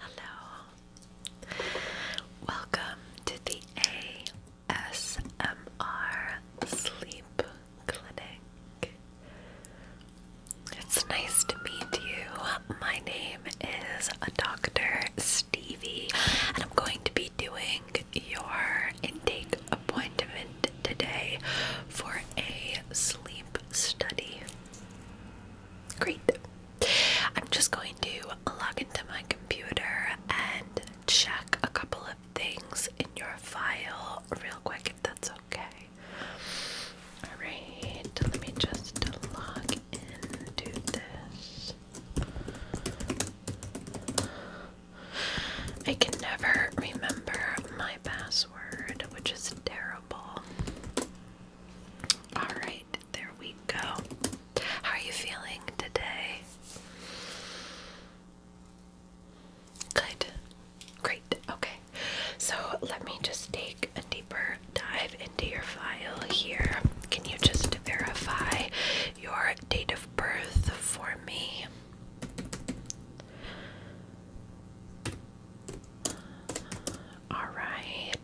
Hello. Welcome to the ASMR Sleep Clinic. It's nice to meet you. My name is Dr. Stevie, and I'm going to be doing your intake appointment today for a sleep study. Great. I'm just going to log into my computer and check a couple of things in your file real quick if that's okay. Alright, let me just log into this. I can never remember my password, which is terrible. Alright, there we go. How are you feeling today? Good. Great. Okay. So let me just take a deeper dive into your file here. Can you just verify your date of birth for me? Alright.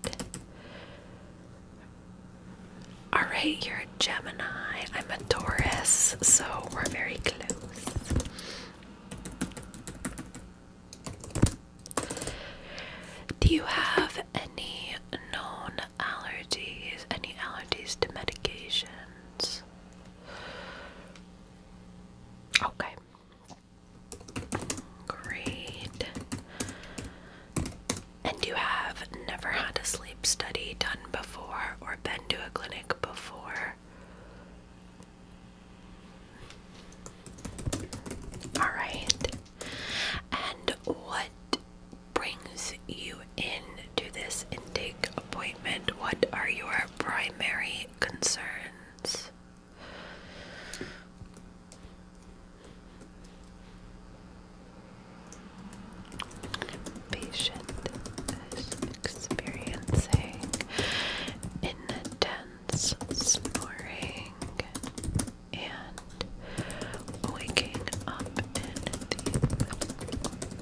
Alright, you're a Gemini. I'm a Taurus, so we're very close. Do you have any known allergies? Any allergies to medications? Okay. Great. And you have never had a sleep study done before or been to a clinic before? All right. And what brings you in to this intake appointment? What are your primary concerns? Patient is experiencing intense snoring and waking up in the, night.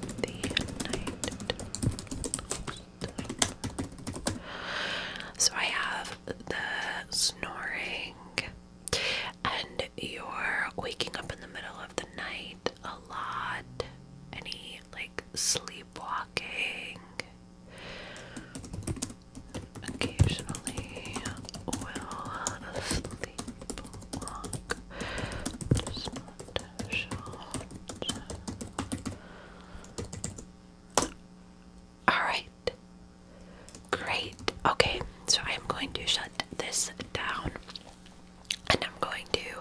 So I have the snoring and you're waking up in the middle of the night a lot. Any like sleepwalking? Occasionally will sleepwalk. Alright. Great. Okay, so I'm going to shut this down and I'm going to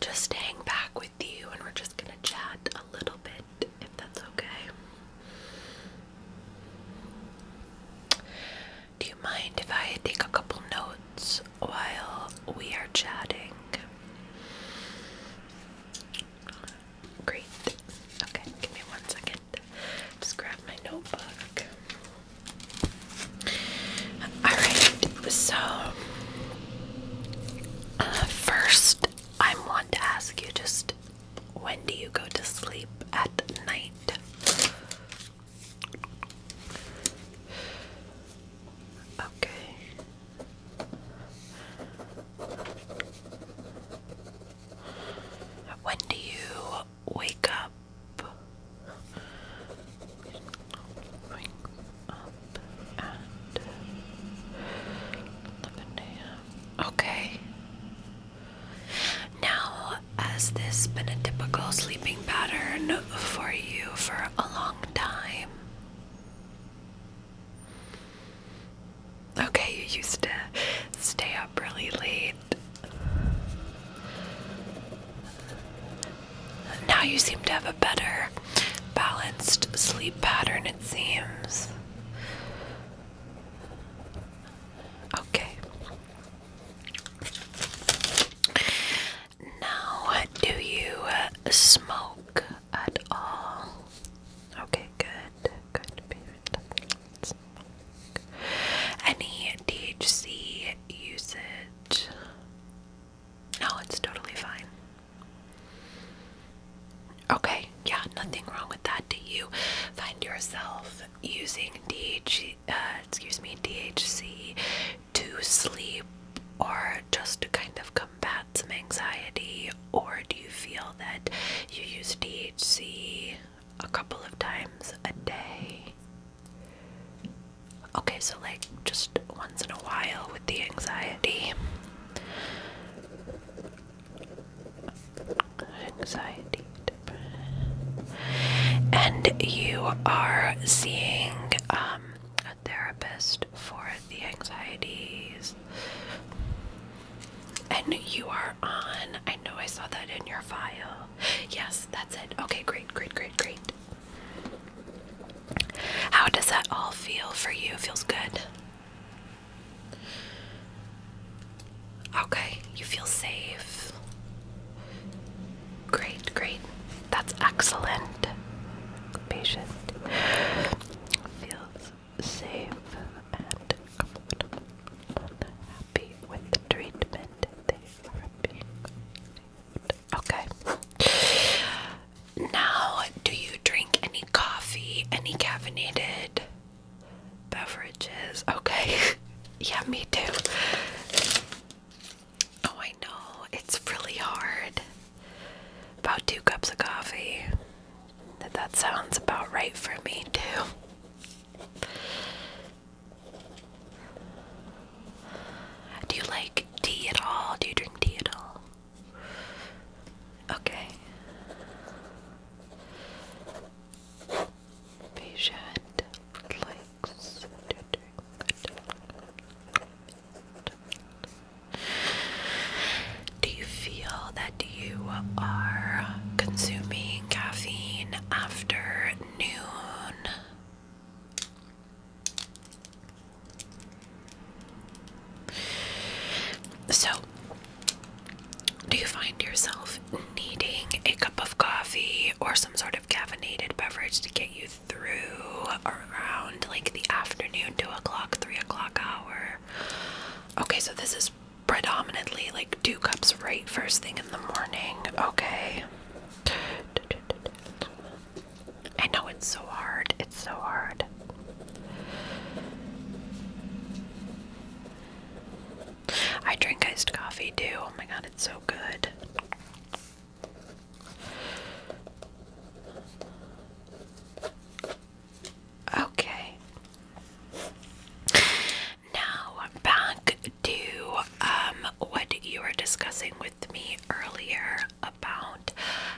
just hang back with you and we're just going to chat a little bit if that's okay. Do you mind if I take a couple notes while we are chatting? Great. Okay, give me one second. Just grab my notebook. Alright, so uh, first, I want to ask you just when do you go to sleep at night? Okay. When do you wake up? Okay. Now, has this been a typical sleeping pattern for you for a long time? Okay, you used to stay up really late. Now you seem to have a better balanced sleep pattern, it seems. Okay. Now, do you smoke at all? Okay, good. Any THC usage? No, it's totally fine. Okay, yeah, nothing wrong with that. Do you find yourself using DHC, uh, excuse me, DHC to sleep or just to kind of combat some anxiety? Or do you feel that you use DHC a couple of times a day. Okay, so like just once in a while with the anxiety. Anxiety. And you are seeing um, a therapist for the anxieties. And you are are on. I know I saw that in your file. Yes, that's it. Okay, great, great, great, great. How does that all feel for you? Feels good. Okay, you feel safe. Great, great. That's excellent. Patient. Feels safe and comfortable, unhappy with the treatment they are being Okay. Now, do you drink any coffee, any caffeinated beverages? Okay. yeah, me too. Oh, I know. It's really hard. About two cups of coffee. That sounds about right for me, too. Do you like tea at all? Do you drink tea at all? Okay. Patient likes to drink. Do you feel that you are consuming caffeine after noon. So, do you find yourself needing a cup of coffee or some sort of caffeinated beverage to get you through around like the afternoon, 2 o'clock, 3 o'clock hour? Okay, so this is predominantly like two cups right first thing in the morning. Okay. I know it's so hard. It's so hard. I drink iced coffee too. Oh my god, it's so good. Okay. Now back to um what you were discussing with me earlier about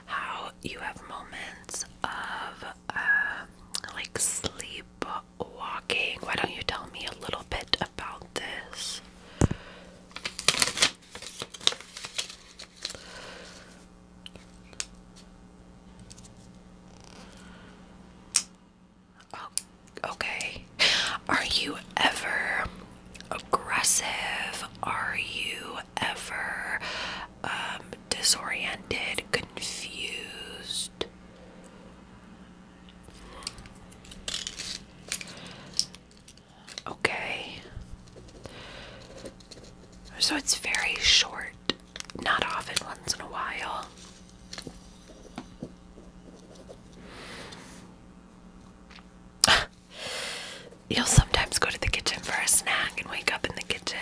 how you have moments of uh, like sleepwalking. Why don't you tell me a little bit about this? Oh, okay. Are you ever aggressive? Are you ever um, disoriented, confused? Okay. So it's very short not often, once in a while. You'll sometimes go to the kitchen for a snack and wake up in the kitchen.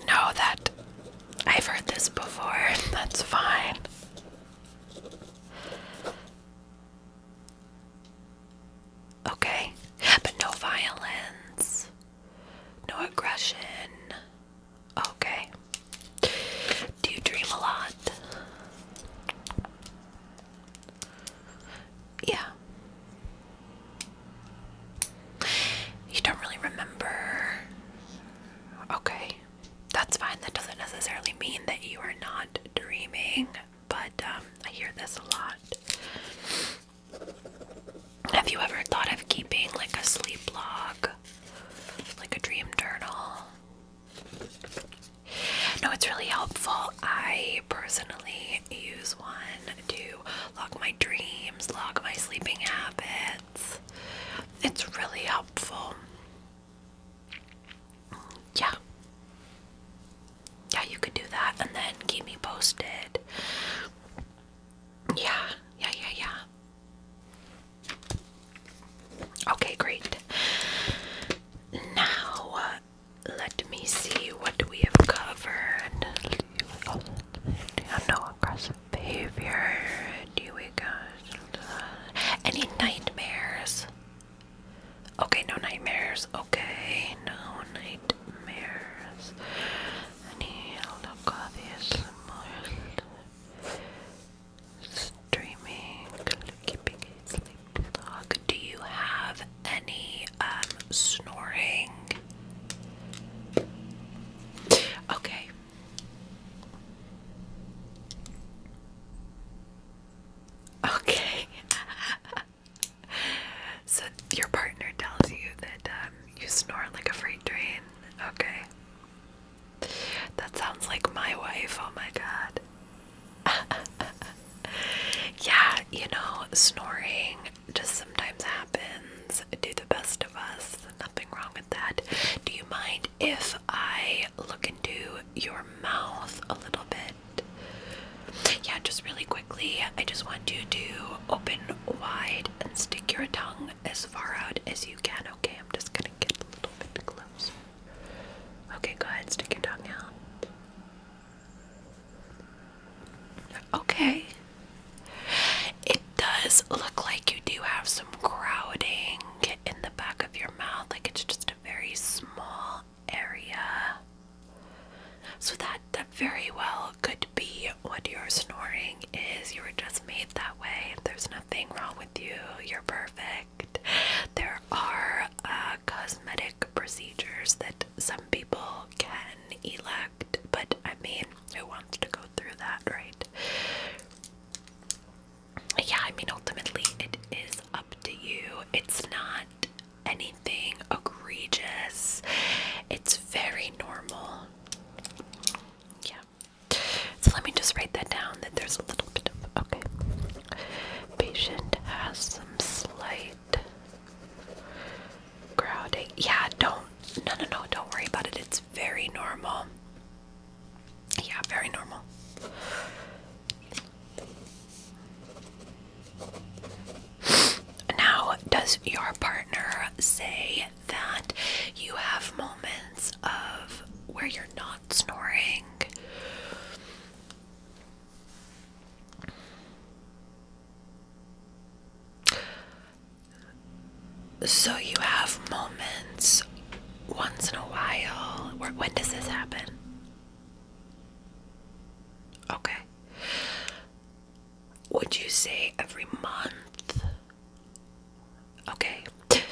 No, that I've heard this before. That's fine. Okay, but no violence, no aggression, Okay. Do you dream a lot? Yeah. You don't really remember. Okay. That's fine. That doesn't necessarily mean that you are not dreaming, but um, I hear this a lot. Have you ever thought of keeping like a sleep log? Like a dream journal? No, it's really helpful. I personally use one to log my dreams, log my sleeping habits. It's really helpful. Yeah. Yeah, you could do that and then keep me posted. Yeah, yeah, yeah, yeah. Okay, great. Now, uh, let me see what we have covered. no aggressive behavior. Do we got uh, any nightmares? Okay, no nightmares. Okay, no nightmares. Any coffee? Streaming, keeping it sleep Do you have any um, snoring? Okay. Okay. so your partner tells you that um, you snore like a freight train. Okay. That sounds like my wife. Oh my god. yeah, you know, snoring just sometimes happens. Do the best of us. Nothing wrong with that. Do you mind if I look into your mouth a little bit? Yeah, just really quickly. I just want you to open wide and stick your tongue as as far out as you can. Okay, I'm just gonna get a little bit closer. Okay, go ahead, stick your tongue out. Okay. It does look like you do have some crowding in the back of your mouth, like it's just a very small area. So that that very well could be what you're snoring is you were just made that way. There's nothing wrong with you. You're perfect. There are uh, cosmetic procedures that some people can elect, but I mean, who wants to go through that, right? Yeah, I mean, ultimately, it is up to you. It's not anything egregious, it's very normal. Yeah. So let me just write that down that there's a little bit of okay. Patient has some slight crowding. Yeah, don't no no no, don't worry about it. It's very normal. Yeah, very normal. Now, does your partner say that you have moments of where you're not snoring. So you have moments once in a while. Where, when does this happen? Okay. Would you say every month? Okay,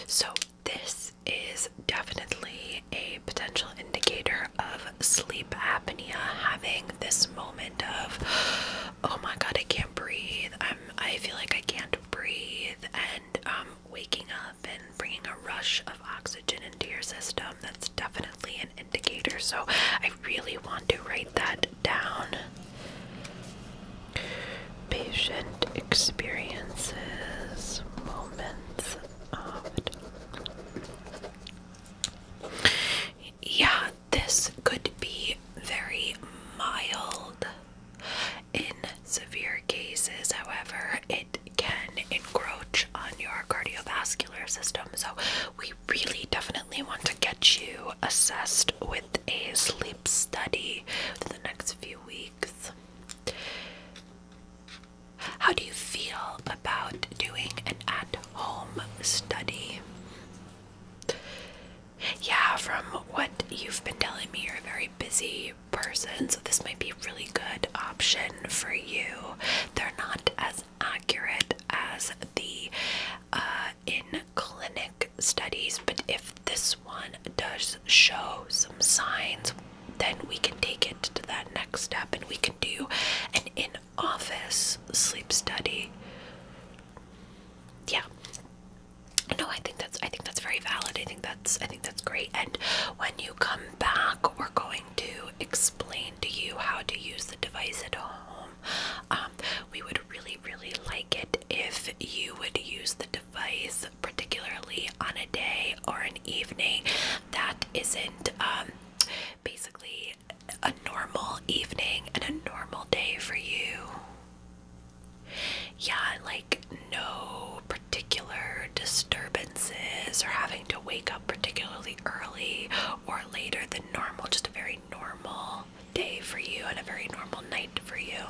so this is definitely a potential indicator of sleep apnea having this moment of oh my god I can't breathe I'm I feel like I can't breathe and um, waking up and bringing a rush of oxygen into your system that's definitely an indicator so I really want to write that down Patient experiences, moments of Yeah, this could be very mild in severe cases, however, it can encroach on your cardiovascular system. So, we really definitely want to get you assessed with a sleep study for the next few weeks. How do you feel about doing an at home study? Yeah, from what you've been telling me, you're a very busy person, so this might be a really good option for you. They're not as accurate as the uh, in clinic studies, but if this one does show some signs, then we can take it to that next step and we can do an in office sleep study. Yeah. No, I think that's I think that's very valid. I think that's I think that's great. And when you come back, we're going to explain to you how to use the device at home. Um, we would really, really like it if you would use the device device, particularly on a day or an evening that isn't um, basically a normal evening and a normal day for you. Yeah, like no particular disturbances or having to wake up particularly early or later than normal, just a very normal day for you and a very normal night for you.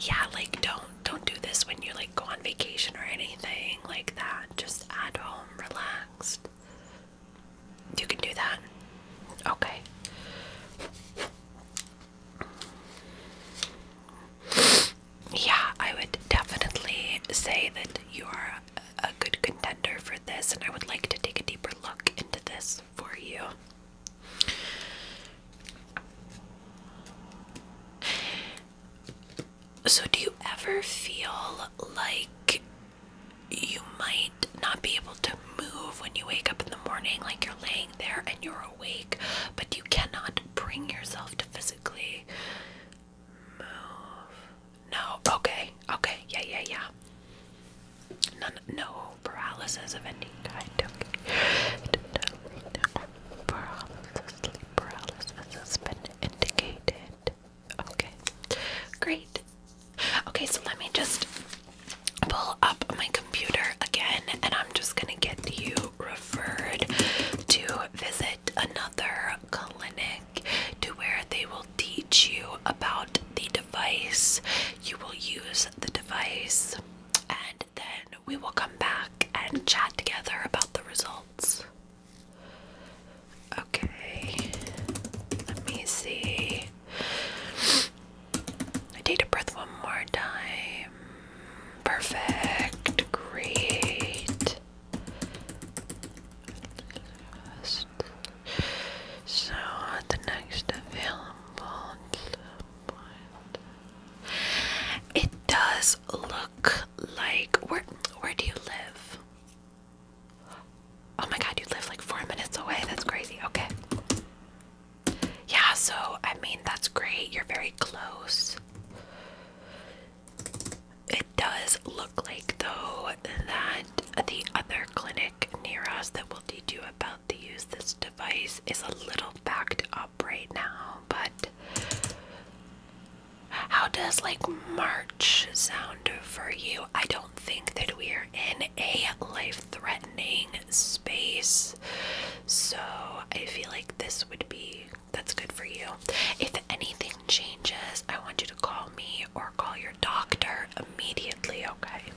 Yeah, like don't don't do this when you like go on vacation or anything like that. Just at home, relaxed. You can do that. Okay. Yeah, I would definitely say that you are a good contender for this, and I would like to take a deeper look into this for you. So, do you ever feel like you might not be able to move when you wake up in the morning? Like you're laying there and you're awake, but you cannot bring yourself to physically move? No. Okay. Okay. Yeah, yeah, yeah no paralysis of any kind. Okay. Paralysis, sleep paralysis has been indicated. Okay, great. Okay, so let me just pull up my computer again, and I'm just gonna get you referred to visit another clinic to where they will teach you about the device. You will use the device and then we will come back and chat together about the results. Okay, let me see. I take a breath one more time. Perfect, great. So, the next available. It does look like where where do you live? Oh my god, you live like four minutes away. That's crazy. Okay. Yeah, so I mean that's great. You're very close. It does look like though that the other clinic near us that will teach you about to use this device is a little backed up right now, but how does like March sound for you? I don't think that we are in a life threatening space, so I feel like this would be that's good for you. If anything changes, I want you to call me or call your doctor immediately, okay?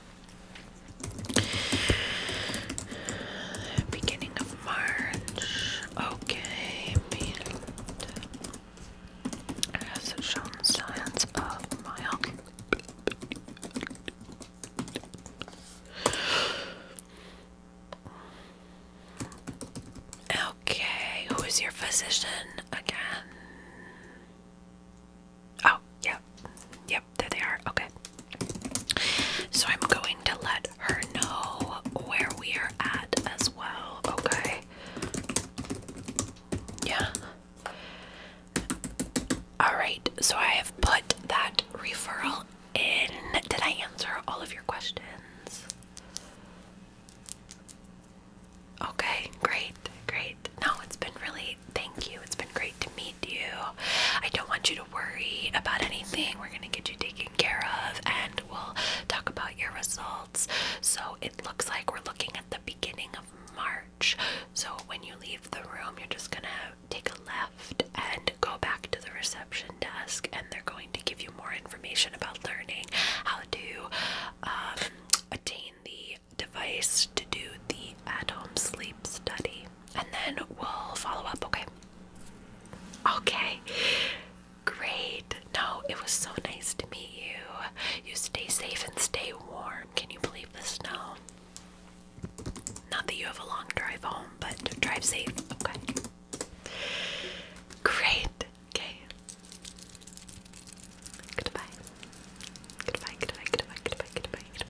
Beginning of March. Okay, has it shown signs of mild? Okay, who is your physician again? Oh, yep. Yep, there they are. Okay. So I'm going to let her know where we are at as well. Okay. Yeah. Alright, so I have put that referral in. Did I answer all of your questions? Okay, great, great. No, it's been really, thank you. It's been great to meet I don't want you to worry about anything. We're going to get you taken care of and we'll talk about your results. So it looks like we're looking at the beginning of March. So when you leave the room, you're just going to take a left and go back to the reception desk, and they're going to give you more information about learning how to um, attain the device to do the at home sleep study and then we'll follow up, okay? Okay. Great. No, it was so nice to meet you. You stay safe and stay warm. Can you believe the snow? Not that you have a long drive home, but drive safe, okay? Great. Okay. Goodbye. Goodbye, goodbye, goodbye, goodbye, goodbye, goodbye.